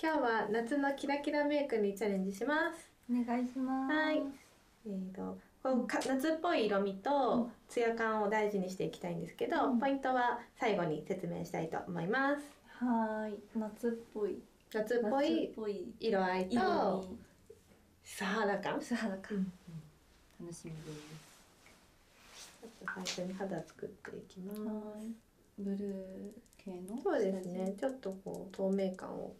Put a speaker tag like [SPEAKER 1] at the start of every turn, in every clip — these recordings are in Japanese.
[SPEAKER 1] 今日は夏のキラキラメイクにチャレンジしますお願いしますえーと、とこ夏っぽい色味とツヤ感を大事にしていきたいんですけど、ポイントは最後に説明したいと思いますはい夏っぽい夏っぽい色合いと素肌感素肌感、楽しみですちょっと最初に肌作っていきますブルー系
[SPEAKER 2] のそうですねち
[SPEAKER 1] ょっとこう透明感を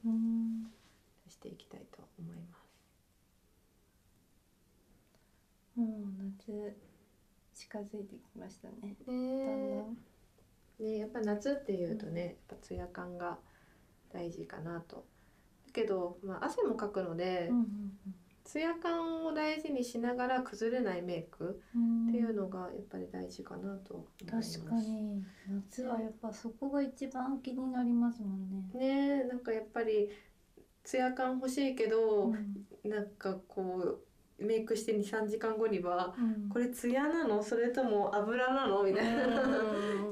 [SPEAKER 1] 出していきたいと思いますもう夏近づいてきましたねねやっぱ夏っていうとね、やっぱツヤ感が大事かなとだけど、ま汗もかくので、うツヤ感を大事にしながら崩れないメイくっていうのがやっぱり大事かなと確かに夏はやっぱそこが一番気になりますもんね。なんかやっぱりツヤ感欲しいけど、なんかこうメイクして23時間後には、これツヤなのそれとも油なのみたいな、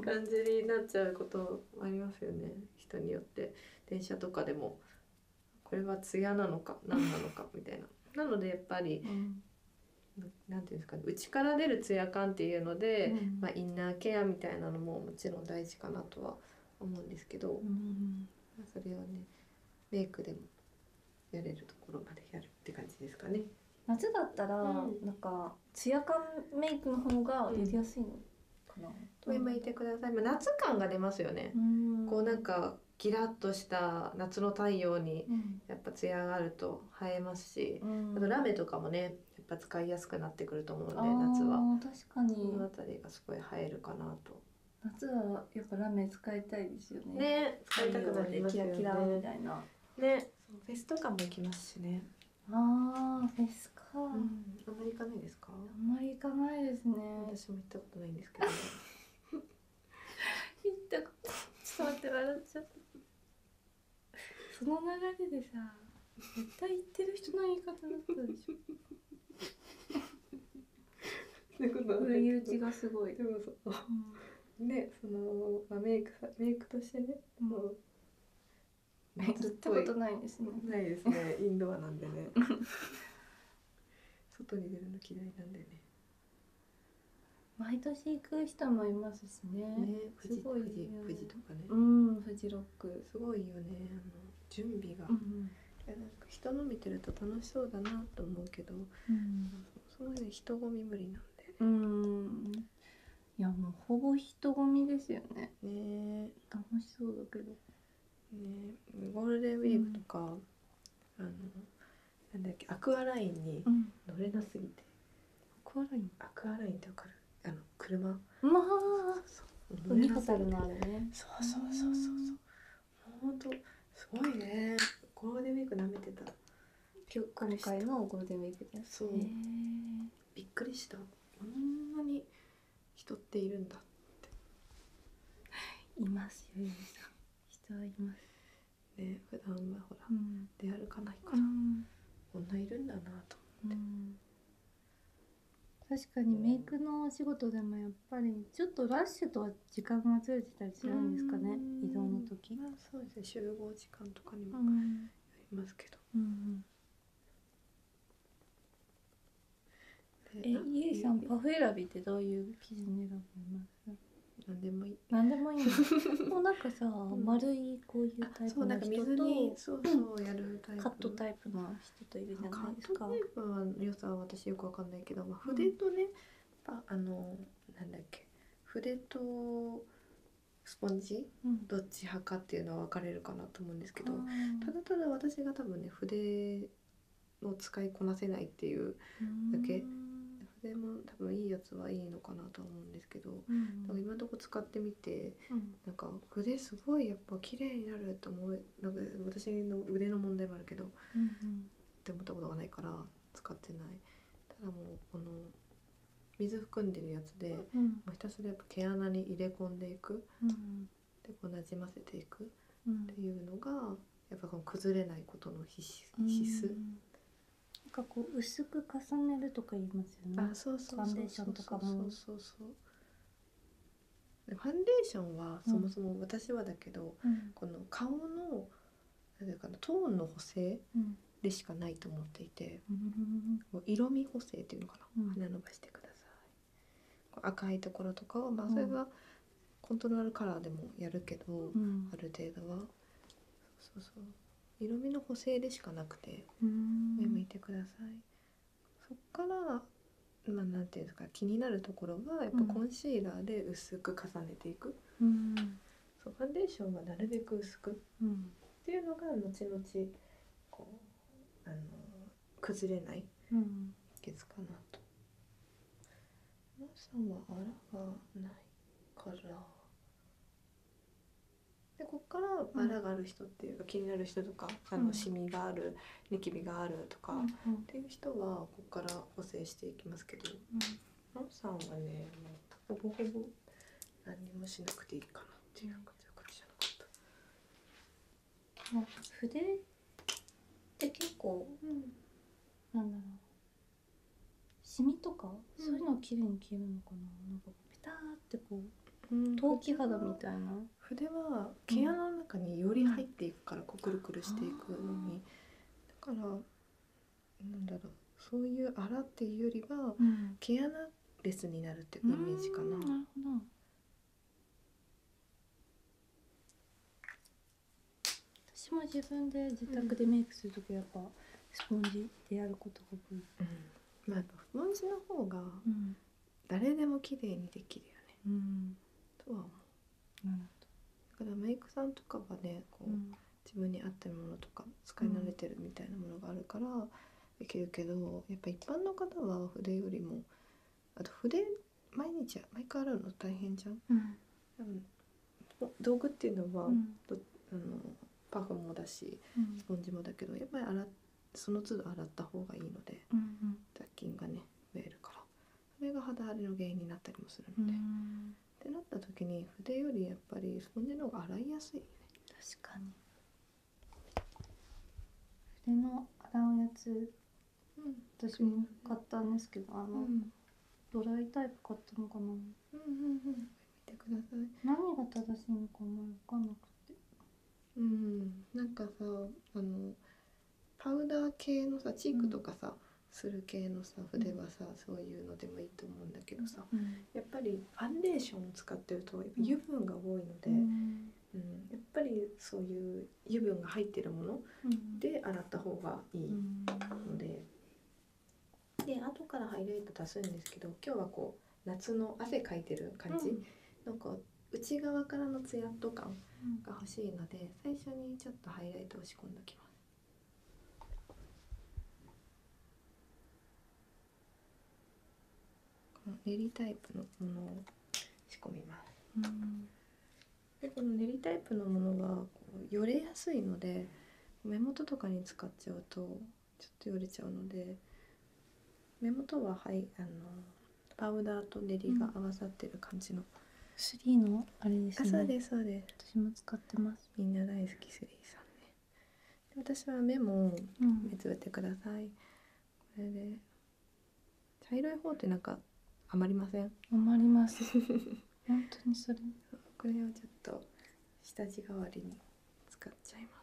[SPEAKER 1] 感じになっちゃうことありますよね人によって電車とかでもこれは艶なのか何なのかみたいな。なのでやっぱり、なんていうんですかね内から出るツヤ感っていうので、まあ、インナーケアみたいなのももちろん大事かなとは思うんですけど、それをねメイクでもやれるところまでやるって感じですかね。夏だったら、うなんかツヤ感メイクの方がやりやすいの
[SPEAKER 2] かな、
[SPEAKER 1] いてください、まあ、夏感が出ますよね、こうなんかギラッとした夏の太陽にやっぱツヤがると映えますし、あとラメとかもねやっぱ使いやすくなってくると思うの夏は確かにこの辺りがすごい映えるかなと夏はやっぱラメ使いたいですよね使いたくなりねキラキラみたいなねフェスとかも行きますしねあーフェスか、うん、あんないですかあんまり行かないですね私も行ったことないんですけど 言ったことちょっと待って笑っちゃったその流れでさ絶対言ってる人の言い方だったでしょ
[SPEAKER 2] そういうこと売れ打ちそ
[SPEAKER 1] の、まあ、メイクメイクとしてねもう行たことないですねないですねインドアなんでね 外に出るの嫌いなんでね毎年行く人もいますしね。ね、富士、富士とかね。富士ロック。すごいよね。あの準備が。人の見てると楽しそうだなと思うけど、うん、そも人混み無理なんだよね。いやもうほぼ人混みですよね。ね楽しそうだけど。ねゴールデンウィークとか、あのなんだっけアクアラインに乗れなすぎて、アクアラインアクアラインってわかるあの車まあそうそう海そうそうそうそうそう本当すごいねゴールデンウィーク舐めてたびっくりしたこんなに人っているんだ いますよゆしちいますね普段はほら、出歩かないから、ういるんだなと思って、確かにメイクのお仕事でもやっぱりちょっとラッシュとは時間がずれてたりするんですかね移動の時、そうですね集合時間とかにもよますけど、え、イエさんパフ選びってどういう基準で選ぶの何でもいい。何でもいい。もうなんかさ、丸いこういうタイプの人と、そうそうやるタイプ。タイプの人といるじゃないですか。カットタイプは良さは私よくわかんないけど、筆とね、うあのなんだっけ、筆とスポンジ、どっち派かっていうのは分かれるかなと思うんですけど、ただただ私が多分ね筆を使いこなせないっていうだけそも多分いいやつはいいのかなとは思うんですけど、うん、今のとこ使ってみて、うなんか筆すごいやっぱ綺麗になると思うなんか私の腕の問題もあるけど、って思ったことがないから使ってないただもうこの水含んでるやつで、うん、ひたすらやっぱ毛穴に入れ込んでいく、でこうなじませていく、っていうのが、やっぱこの崩れないことの必須必須、うなんかこう薄く重ねるとか言いますよねファンデーションとかファンデーションはそもそも私はだけど、この顔のなんかなトーンの補正でしかないと思っていて、色味補正っていうのかな、う花伸ばしてください赤いところとかを、まあ、それがコントロールカラーでもやるけど、ある程度はそうそう色味の補正でしかなくて
[SPEAKER 2] 上向いてくださいそっから
[SPEAKER 1] まあ、なて言うんですか気になるところはやっぱコンシーラーで薄く重ねていく、そうファンデーションはなるべく薄く、うん、っていうのが後々こうあの崩れない秘訣かなと皆さんはあらがないからでこっからあらがある人っていうか、気になる人とかあのシミがあるニキビがあるとか、っていう人はこっから補正していきますけど、うん、さんはねもうほぼほぼ何もしな
[SPEAKER 2] くていいかなっていう感じじゃなかった。で結構、うなんだろう
[SPEAKER 1] シミとか、そういうのは綺麗に消えるのかななんかペターってこう、陶器肌みたいな筆は毛穴の中により入っていくから、こうくるくるしていくのにだからなんだろうそういう荒っていうよりは、毛穴レスになるっていうイメージかな。な私も自分で自宅でメイクする時はやっぱスポンジでやることが多い、まあ、スポンジの方が誰でも綺麗にできるよね、とは思う、だからメイクさんとかはねこう、自分に合ってるものとか使い慣れてるみたいなものがあるからできるけど、やっぱ一般の方は筆よりもあと筆毎日毎回洗うの大変じゃん、道具っていうのは、うん、あのパフもだし、スポンジもだけどやっぱり洗その都度洗った方がいいので、雑菌がね増えるからそれが肌荒れの原因になったりもするの
[SPEAKER 2] で。っ
[SPEAKER 1] てなった時に筆よりやっぱりスポンジの方が洗いやすい、ね、確かに筆の洗うやつうん、私も買ったんですけどあの、ドライタイプ買ったのかなうんうんうん見てください何が正しいの
[SPEAKER 2] かも分かんなくてうん
[SPEAKER 1] なんかさあのパウダー系のさチークとかさ、する系のさ筆はさ、そういうのでもいいと思うんだけどさ、やっぱりファンデーションを使ってると油分が多いので、うんやっぱりそういう油分が入ってるもので洗った方がいいので、うん、で後からハイライト足すんですけど今日はこう夏の汗かいてる感じのこう内側からのツヤっと感が欲しいので最初にちょっとハイライト仕込んできます。この練りタイプのものを仕込みます。でこの練りタイプのものがこうよれやすいので目元とかに使っちゃうとちょっとよれちゃうので目元ははいあのパウダーと練りが合わさってる感じの、3のあれですね私も使ってますみんな大好き3さんね私は目も目つぶってください、これで茶色い方ってなんか余りません余ります 本当にそれこれをちょっと下地代わりに使っちゃいます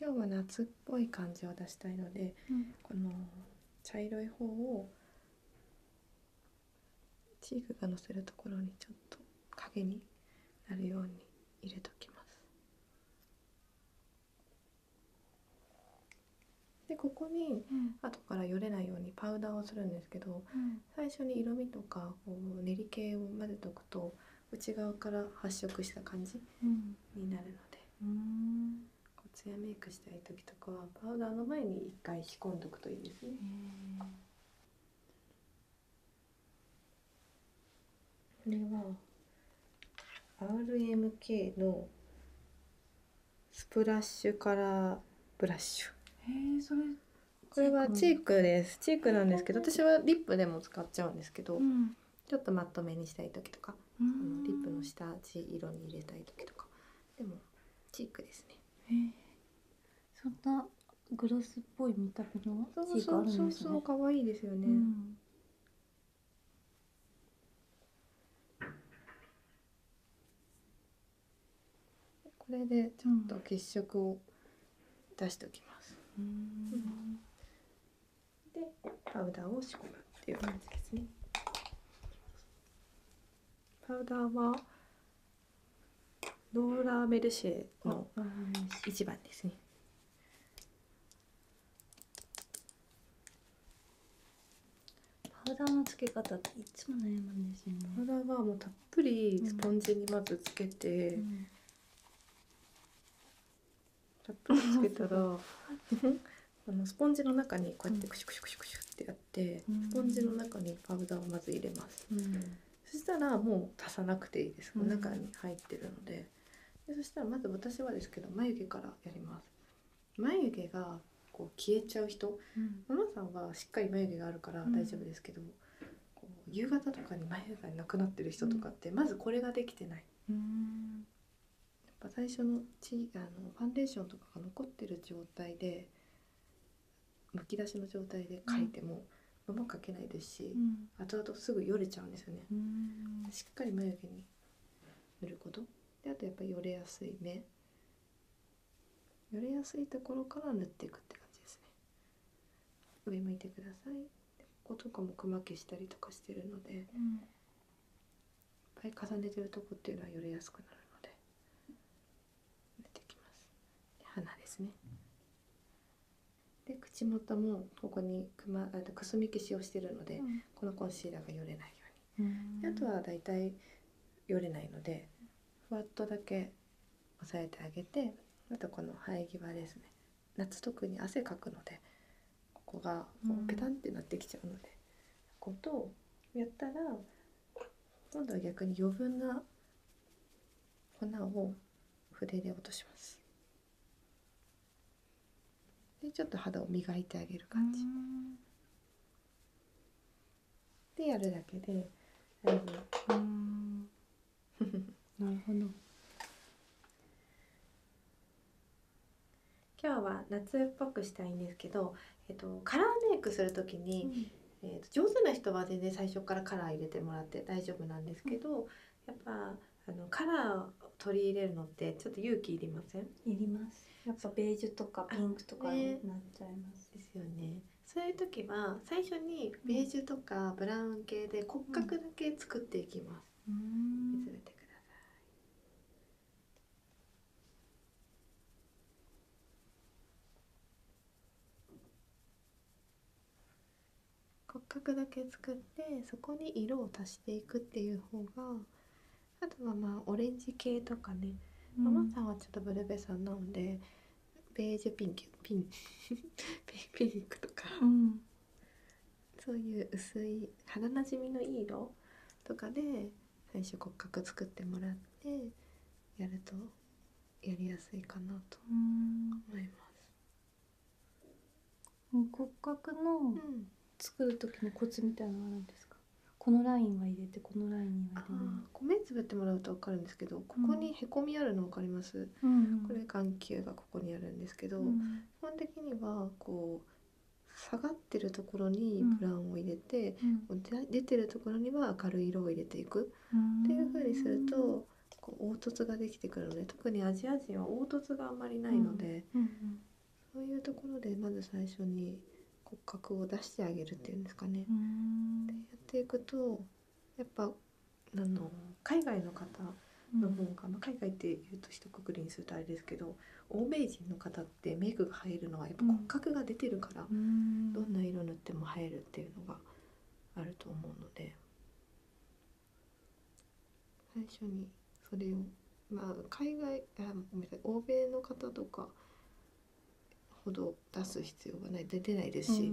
[SPEAKER 1] 今日は夏っぽい感じを出したいので、この茶色い方をチークがのせるところにちょっと影になるように入れときますでここに後からよれないようにパウダーをするんですけど、最初に色味とかこう練り系を混ぜとくと内側から発色した感じになるので、うん、こうツヤメイクしたい時とかはパウダーの前に一回仕込んどくといいですね。これは RMK のスプラッシュカラーブラッシ
[SPEAKER 2] ュえそれ
[SPEAKER 1] これはチークですチークなんですけど私はリップでも使っちゃうんですけど、ちょっとまとめにしたい時とか、うん、リップの下地色に入れたい時とかでもチークですねそんなグロスっぽい見た目のチークいですよね、これでちょっと血色を出しておきます、でパウダーを仕込むっていう感じですねパウダーはローラーメルシェの一番ですね。パウダーのつけ方っていつも悩むんですよパウダーはもうたっぷりスポンジにまずつけて、たっぷりつけたら あのスポンジの中にこうやってクシュクシュクシュクシュってやって、スポンジの中にパウダーをまず入れます。そしたらもう足さなくていいです、うん、中に入ってるのでそしたらまず私はですけど眉毛からやります眉毛がこう消えちゃう人、マ、マ、さんはしっかり眉毛があるから大丈夫ですけど、こう夕方とかに眉毛がなくなってる人とかってまずこれができてない、
[SPEAKER 2] やっ
[SPEAKER 1] ぱ最初のちあのファンデーションとかが残ってる状態でむき出しの状態で書いても、うん、まけないですし、後々すぐよれちゃうんですよね。しっかり眉毛に塗ることであとやっぱりよれやすい目よれやすいところから塗っていくって感じですね。上向いてください。こことかもくま消したりとかしてるので、いっぱい重ねてるとこっていうのはよれやすくなるので塗てきますで鼻ですねで口元もここにくまあのくすみ消しをしてるので、このコンシーラーがよれないようにあとはだいたいよれないのでふわっとだけ押さえてあげてあとこの生え際ですね夏特に汗かくのでここがこうペタンってなってきちゃうので、こことやったら今度は逆に余分な粉を筆で落としますでちょっと肌を磨いてあげる感じでやるだけでう なるほど今日は夏っぽくしたいんですけど、えっと、カラーメイクする時に、えー、と上手な人は全然最初からカラー入れてもらって大丈夫なんですけど、やっぱあのカラーを取り入れるのってちょっと勇気いりません
[SPEAKER 2] いります
[SPEAKER 1] やっぱベージュとかピンクとかなっちゃいます、ですよねそういう時は最初にベージュとかブラウン系で骨格だけ作っていきます、うん、見つてください骨格だけ作ってそこに色を足していくっていう方があとはまあオレンジ系とかね、ママさんはちょっとブルベさんなのでベージュピンキピン ピンクとか、そういう薄い肌なじみのいい色とかで最初骨格作ってもらってやるとやりやすいかなと思います。骨格の作る時のコツみたいなあるんですか、このラインは入れてこのラインは入れないこってもらうと分かるんですけどここにへこみあるの分かります、
[SPEAKER 2] これ
[SPEAKER 1] 眼球がここにあるんですけど、基本的にはこう下がってるところにブランを入れて、うん、出てるところには明るい色を入れていく
[SPEAKER 2] っていうふうにする
[SPEAKER 1] とこう凹凸ができてくるので特にアジア人は凹凸があまりないので、そういうところでまず最初に骨格を出してあげるっていうんですかね。でやっていくとやっぱあの海外の方の方が、ま海外って言うと一括りにするとあれですけど欧米人の方ってメイクが入るのはやっぱ骨格が出てるから、どんな色塗っても映えるっていうのが。あると思うので最初にそれをまあ海外あごめんなさい欧米の方とかほど出す必要がない出てないですし、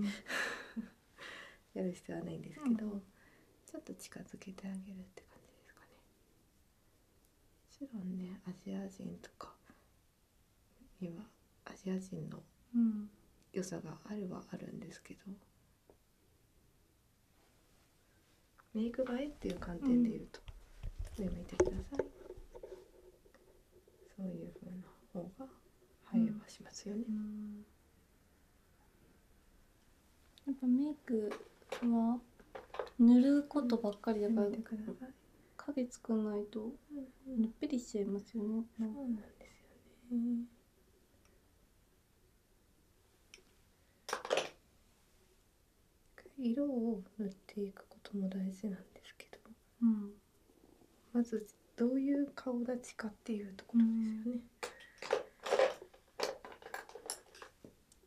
[SPEAKER 1] やる必要はないんですけど、ちょっと近づけてあげるって感じですかね。もちろんねアジア人とか今、アジア人の良さがあるはあるんですけど、メイク映えっていう観点でいうと、うん、上向いてくださいそういう風な方が配慮はしますよね、やっぱメイクは塗ることばっかりいでだから影つかないとぬっぺりしちゃいますよね。そうなんですよね色を塗っていくことも大事なんですけど、まずどういう顔立ちかっていうところですよね。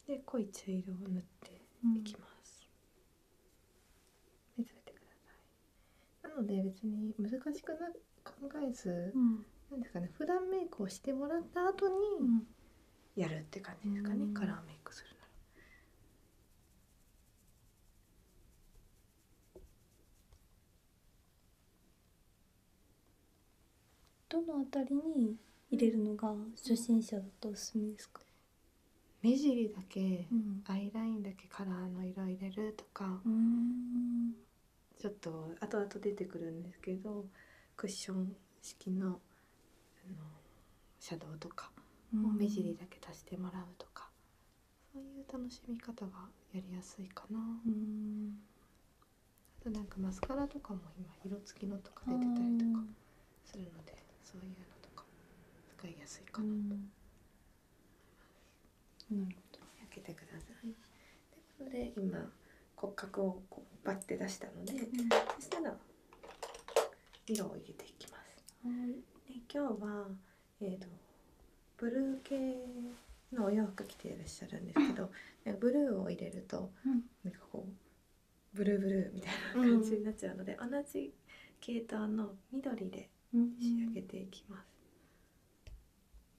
[SPEAKER 1] で濃い茶色を塗っていきます。なので別に難しく考えず、うですかね普段メイクをしてもらった後にやるって感じですかね、カラーメイクするなら。どのあたりに入れるのが初心者だとおすすめですか目尻だけ、アイラインだカラーの色入れるとかちょっと後々出てくるんですけどクッション式のシャドウとかを目尻だけ足してもらうとか、そういう楽しみ方がやりやすいかな。あとなんかマスカラとかも今色付きのとか出てたりとかするのでそういうのとか使いやすいかなと。なる開けてください。といこで今骨格をこうバッて出したので、そしたら色を入れていきます。で今日は、えーと、ブルー系のお洋服着ていらっしゃるんですけど、ブルーを入れると、うなんかこうブルーブルーみたいな感じになっちゃうので、同じ系統の緑で仕上げていきます。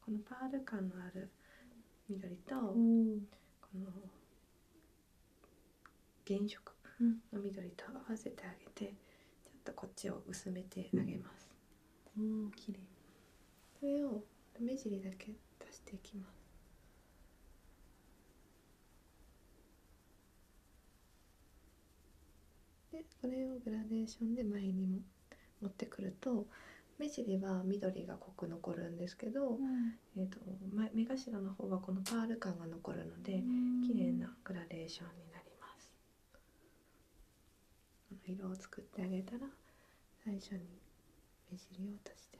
[SPEAKER 1] このパール感のある緑と、この原色の緑と合わせてあげてちょっとこっちを薄めてあげます。綺麗そを目尻だけ足していきます。でこれをグラデーションで前にも持ってくると目尻は緑が濃く残るんですけど、えーと、目頭の方はこのパール感が残るので、うん、綺麗なグラデーションになりますこの色を作ってあげたら最初に目尻を足してあげる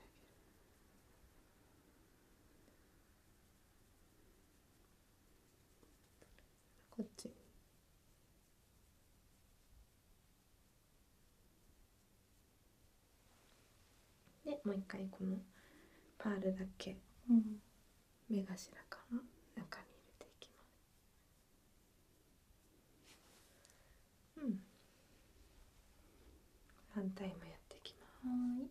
[SPEAKER 1] こっちでもう一回このパールだけ、目頭から中に入れていきますうん反対も
[SPEAKER 2] やっていきます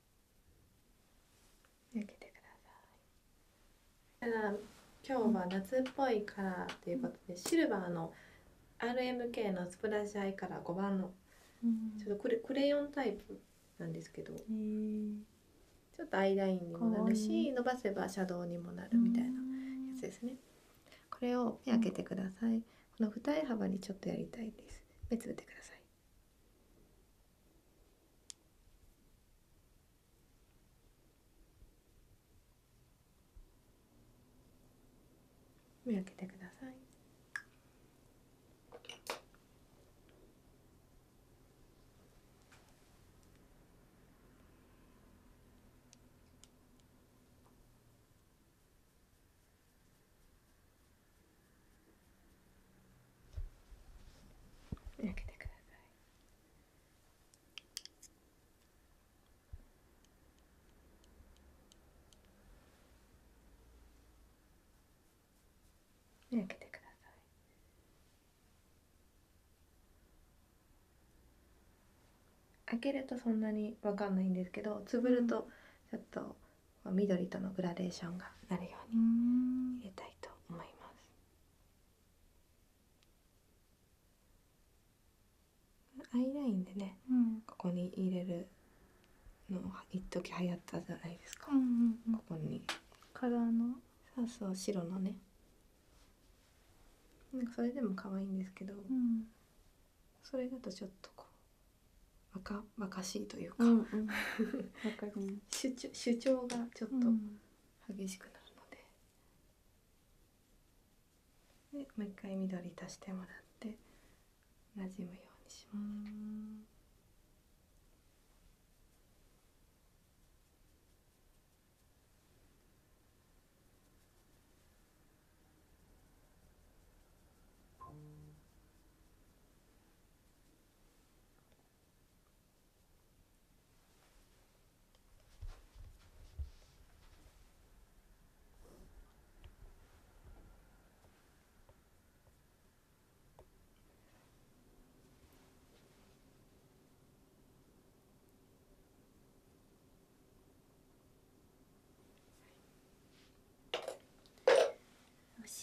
[SPEAKER 1] 受けてくださいだ今日は夏っぽいカラーということで、シルバーの RMK のスプラッシュアイカ5番の、ちょっとクレヨンタイプなんですけど、ちょっとアイラインにもなるし伸ばせばシャドウにもなるみたいなやつですね。これを目開けてください。この二重幅にちょっとやりたいです。目つぶってください。目開けてください
[SPEAKER 2] 開けてください開け
[SPEAKER 1] 開けるとそんなに分かんないんですけどつぶるとちょっと緑とのグラデーションがなるように入れたいと思いますアイラインでね、ここに入れるの一時流行ったじゃないですか、ここにカラーのそうそう白のねなんかそれでも可愛いんですけど、それだとちょっとこ若々しいというか、主張がちょっと激しくなるのでうでもう一回緑足してもらってなじむように
[SPEAKER 2] します。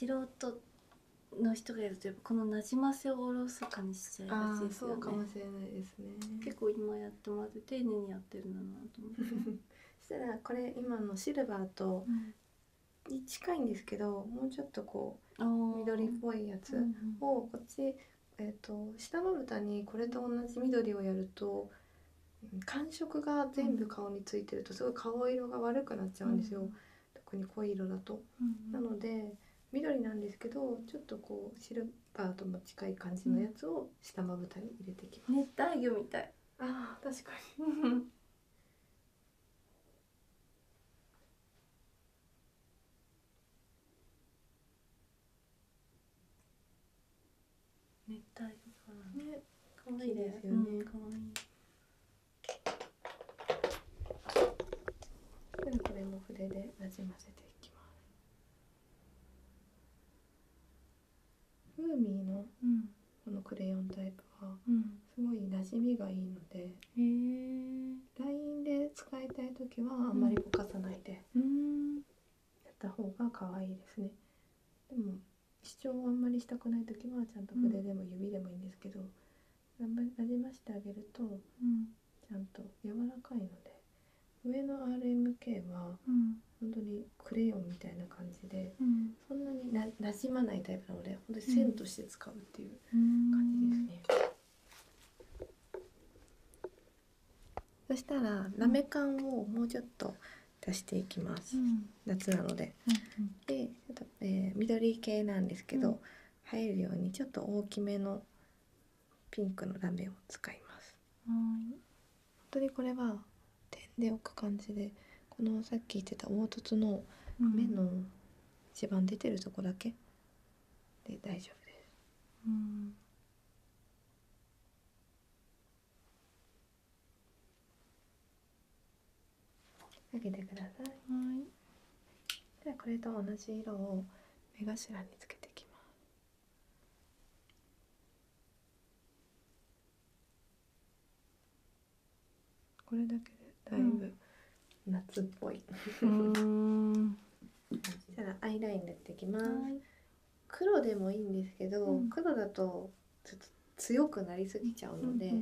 [SPEAKER 1] 素人の人がいるとこのなじませおろそかにしちゃいがす結構今やってもらって丁やってるんだな そしたらこれ今のシルバーとに近いんですけど、もうちょっとこう緑っぽいやつをこっち、えーと、下まぶたにこれと同じ緑をやると感触が全部顔についてるとすごい顔色が悪くなっちゃうんですよ。特に濃い色だと、なので緑なんですけどちょっとこうシルバーとも近い感じのやつを下まぶたに入れて熱帯魚みたいあー確かに
[SPEAKER 2] 熱帯魚ね可愛いですよね、うん、いいこ
[SPEAKER 1] れも筆でなじませていきます。フーミーのこのクレヨンタイプはすごい馴染みがいいので、うん、LINE で使いたい時はあんまりぼかさないでやった方が可愛いですね。でも主張をあんまりしたくない時はちゃんと筆でも指でもいいんですけど、なじましてあげると、
[SPEAKER 2] ち
[SPEAKER 1] ゃんと柔らかいので上の RMK は、うん、本当にクレヨンみたいな感じで、そんなになじまないタイプなので本当線として使うっていう
[SPEAKER 2] 感じですね。
[SPEAKER 1] そしたらなめかんをもうちょっと出していきます。夏なので、で、えー、緑系なんですけど、うん、入るようにちょっと大きめのピンクのラメを使いますはい本当にこれは点で置く感じでこのさっき言ってた凹凸の目の一番出てるとこだけで大丈夫です、うんあげてくださいはいでこれと同じ色を目頭につけていきますこれだけでだいぶ夏っぽい、うん、し アイライン塗っていきます、黒でもいいんですけど、黒だとちょっと強くなりすぎちゃうので、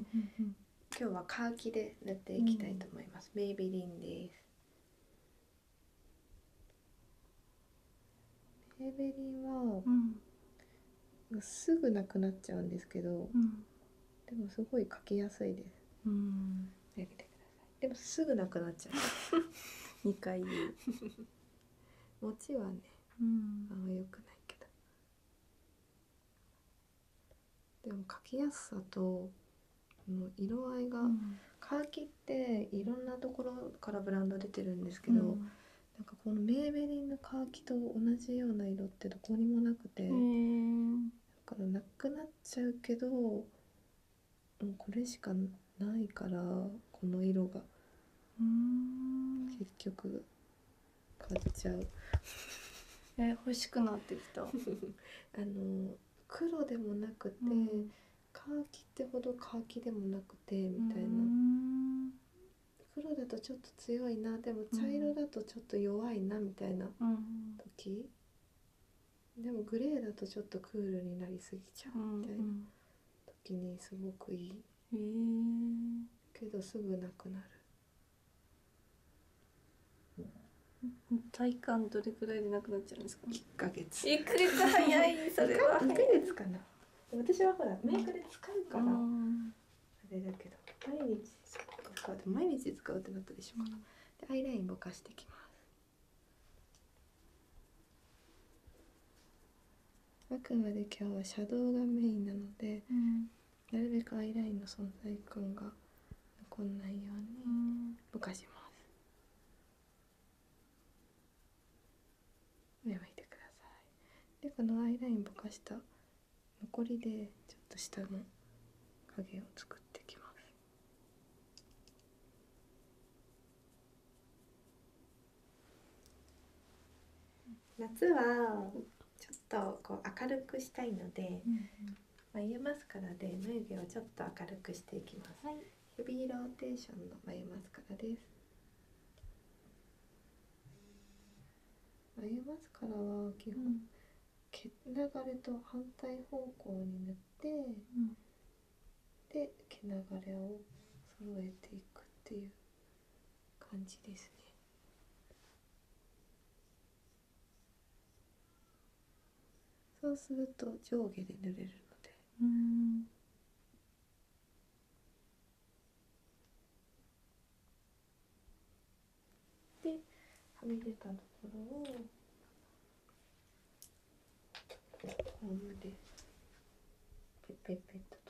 [SPEAKER 1] 今日は乾きで塗っていきたいと思います、メイビリンですメイビリンは、うすぐなくなっちゃうんですけど、でもすごい描きやすいです、でもすぐなくなっちゃう2 回 持ちはね、うあんまくないけどでも描きやすさと色合いが、カーキっていろんなところからブランド出てるんですけど、うなんかこのメーベリンのカーキと同じような色ってどこにもなくてだからなくなっちゃうけどもうこれしかないからこの色が結局買っちゃう え欲しくなってきた あの黒でもなくて、カーキってほどカーキでもなくてみたいな黒だとちょっと強いなで
[SPEAKER 2] も茶色
[SPEAKER 1] だとちょっと弱いなみたいな時、でもグレーだとちょっとクールになりすぎちゃうみたいな時にすごくいい、けどすぐなくなる体感どれくらいでなくなっちゃうんですか1ヶ月1ヶ月かな私はほらメーカで使うから毎日使うってなったでしょうアイラインぼかしてきますあくまで今日はシャドウがメインなので、なるべくアイラインの存在感が残んなようにぼかします目をいてくださいでこのアイラインぼかした残りでちょっと下の影を作っていきます夏はちょっとこう明るくしたいので、眉マスカラで眉毛をちょっと明るくしていきます、はヘビーローテーションの眉マスカラです眉マスカラは基本、毛流れと反対方向に塗って、で毛流れを揃えていくっていう感じですねそうすると上下で塗れるのでではみ出たところをホームでペペッペッと取ります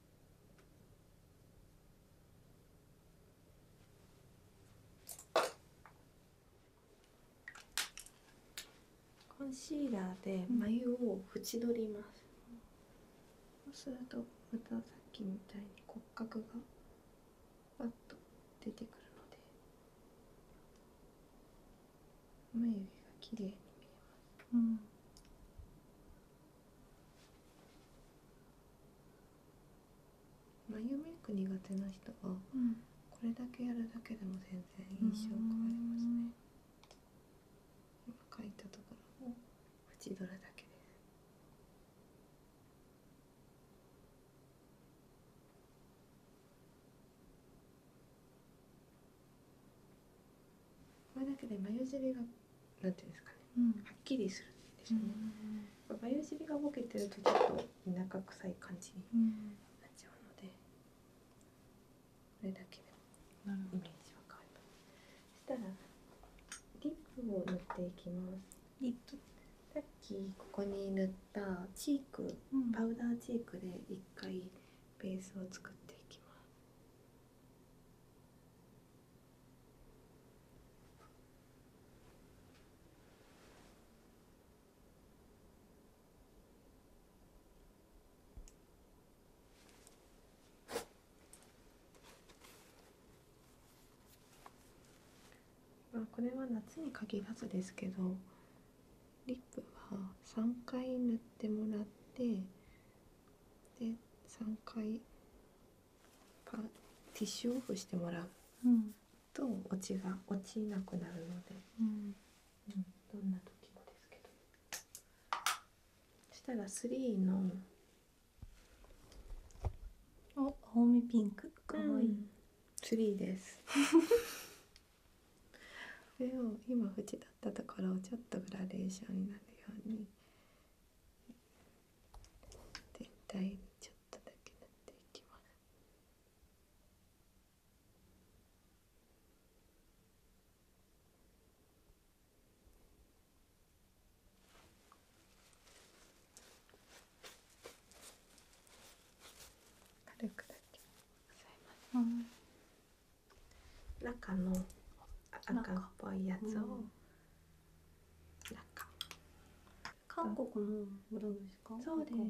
[SPEAKER 1] コンシーラーで眉を縁取ります、そうするとまたさっきみたいに骨格がパッと出てくるので眉毛が綺麗に見えます、うん眉メイク苦手な人は、これだけやるだけでも全然印象変わりますね今描いたところを縁取るだけですこれだけで眉尻がなていうんですかね、はっきりするんですね。うん、眉尻がボケてるとちょっと田舎臭い感じになっちゃうので、これだけでもイメージは変わります。したらリップを塗っていきます。
[SPEAKER 2] リップさっきこ
[SPEAKER 1] こに塗ったチーク、パウダーチークで一回ベースを作っていきます。まあ、これは夏に限らずですけどリップは3回塗ってもらってで3回パンティッシュオフしてもらうと落ちが落ちなくなるので、うんどんな時もですけどそしたら3のお青みピンクかわいい、うん、ですそれを今縁だったところをちょっとグラデーションになる
[SPEAKER 2] ように全体にちょっとだけ塗っていきます
[SPEAKER 1] 軽くだけ押さ中の赤っぽいやつをなんか韓国の裏ですかそうですそうですこ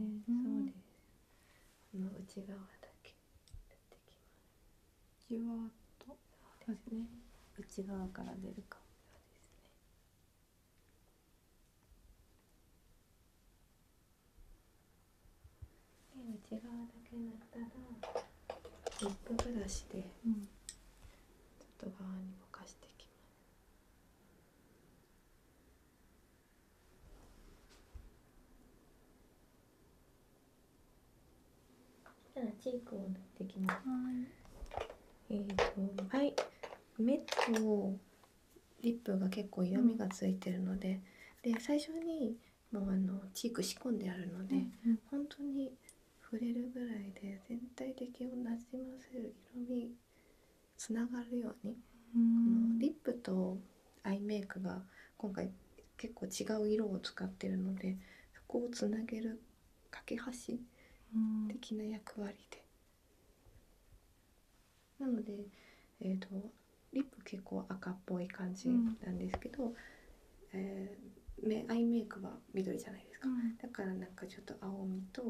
[SPEAKER 1] の内側だけじわとそうですね内側から出るか内側だけ塗ったらリップブラシで外側にぼかしてきますじゃあチークを塗っていきますえーとはい目とリップが結構色みがついてるので、で最初にもうあのチーク仕込んであるので、うんう本当に触れるぐらいで全体的をなじませる色味つながるようにこのリップとアイメイクが今回結構違う色を使ってるのでそこをつなげる架け橋的な役割で。なので、えーと、リップ結構赤っぽい感じなんですけど、えー、目アイメイクは緑じゃないですか、だからなんかちょっと青みと、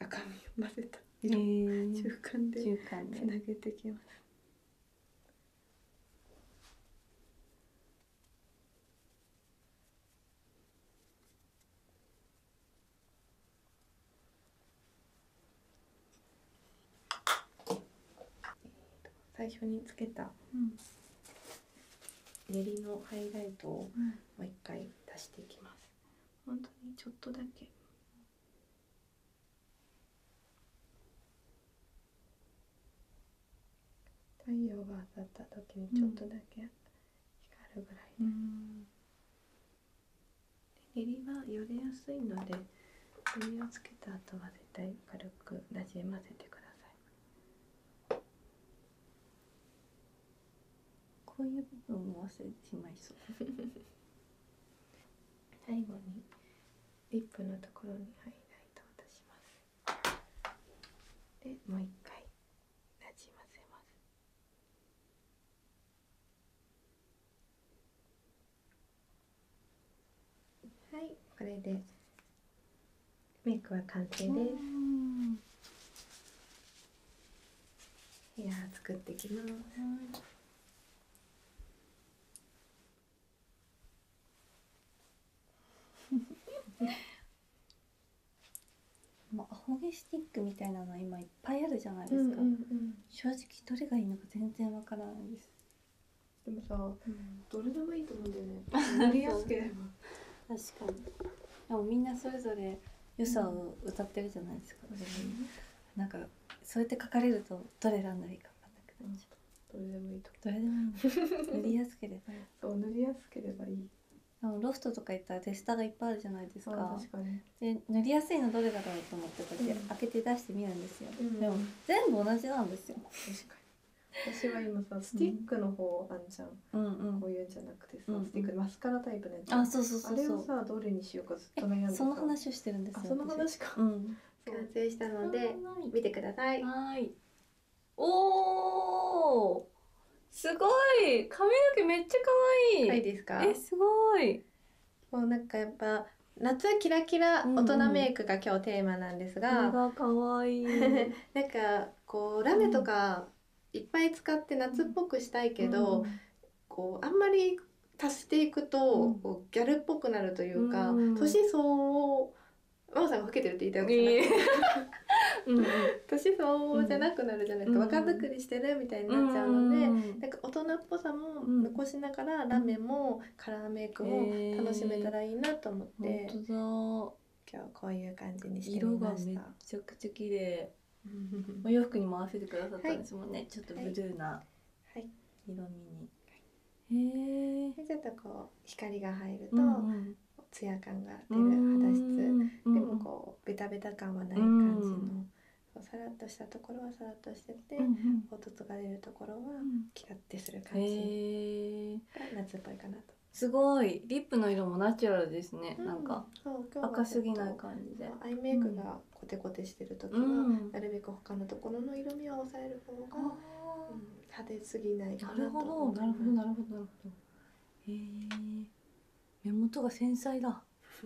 [SPEAKER 1] 赤みを混ぜた色、えー、中間でつなげてきます。最初につけた練りのハイライトをもう一回出していきます。本当にちょっとだけ太陽が当たった時にちょっとだけ光るぐらいでうで練りはよれやすいので練りをつけた後は絶対軽くなじませてくださいこういう部分も忘れてしまいそう最後にリップのところにハイライトを出しますでもう一回なじませますはいこれでメイクは完成ですヘア作ってきます まあ、アホ毛スティックみたいなの今いっぱいあるじゃないですか、正直どれがいいのか全然わからないですでもさ、どれでもいいと思うんだよね塗りやすければ確かにでもみんなそれぞれ良さを歌ってるじゃないですか、うん、なんかそうやって書かれるとどれ選んだらいいか分かんなくなっちゃう、どれでもいいとどれでもいい塗りやすければそう塗りやすければいいあのロフトとか行ったら手下がいっぱいあるじゃないですかで塗りやすいのどれだろうと思ってこ開けて出してみるんですよ、でも全部同じなんですよ確かに私は今さスティックの方、あんちゃん、こういうんじゃなくてスティックマスカラタイプのやつあそうそうそうあれをさどれにしようかその話をしてるんですその話か、完成したので見てくださいはおすごい髪の毛めっちゃ可愛いえすごいもうなんかやっぱ夏キラキラ大人メイクが今日テーマなんですですががかわい なんかこうラメとかいっぱい使って夏っぽくしたいけど、こうあんまり足していくと、ギャルっぽくなるというか、年相応真央さんが老けてるって言いたいわけじゃな 年相応じゃなくなるじゃないでか、若作りしてるみたいになっちゃうので、うなんか大人っぽさも残しながらラメもカラーメイクも楽しめたらいいなと思って、今日こういう感じにしてみました色がち綺麗お洋服にもせてくださったはい、ょっと色味に、はいちょっとこう光が入ると、うツヤ感が出る肌質でもこうベタベタ感はない感じのさらっとしたところはさらっとしてて、凹凸が出るところはキラッてする感じ、夏っぽかなと。すごいリップの色もナチュラルですね、なんか赤すぎない感じでアイメイクがコテコテしてる時は、なるべく他のところの色味を抑える方が、派手すぎないなるほどなるほど目元が繊
[SPEAKER 2] 細だ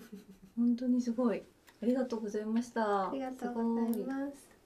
[SPEAKER 2] 本当にすごいありがとうございましたありがとうございます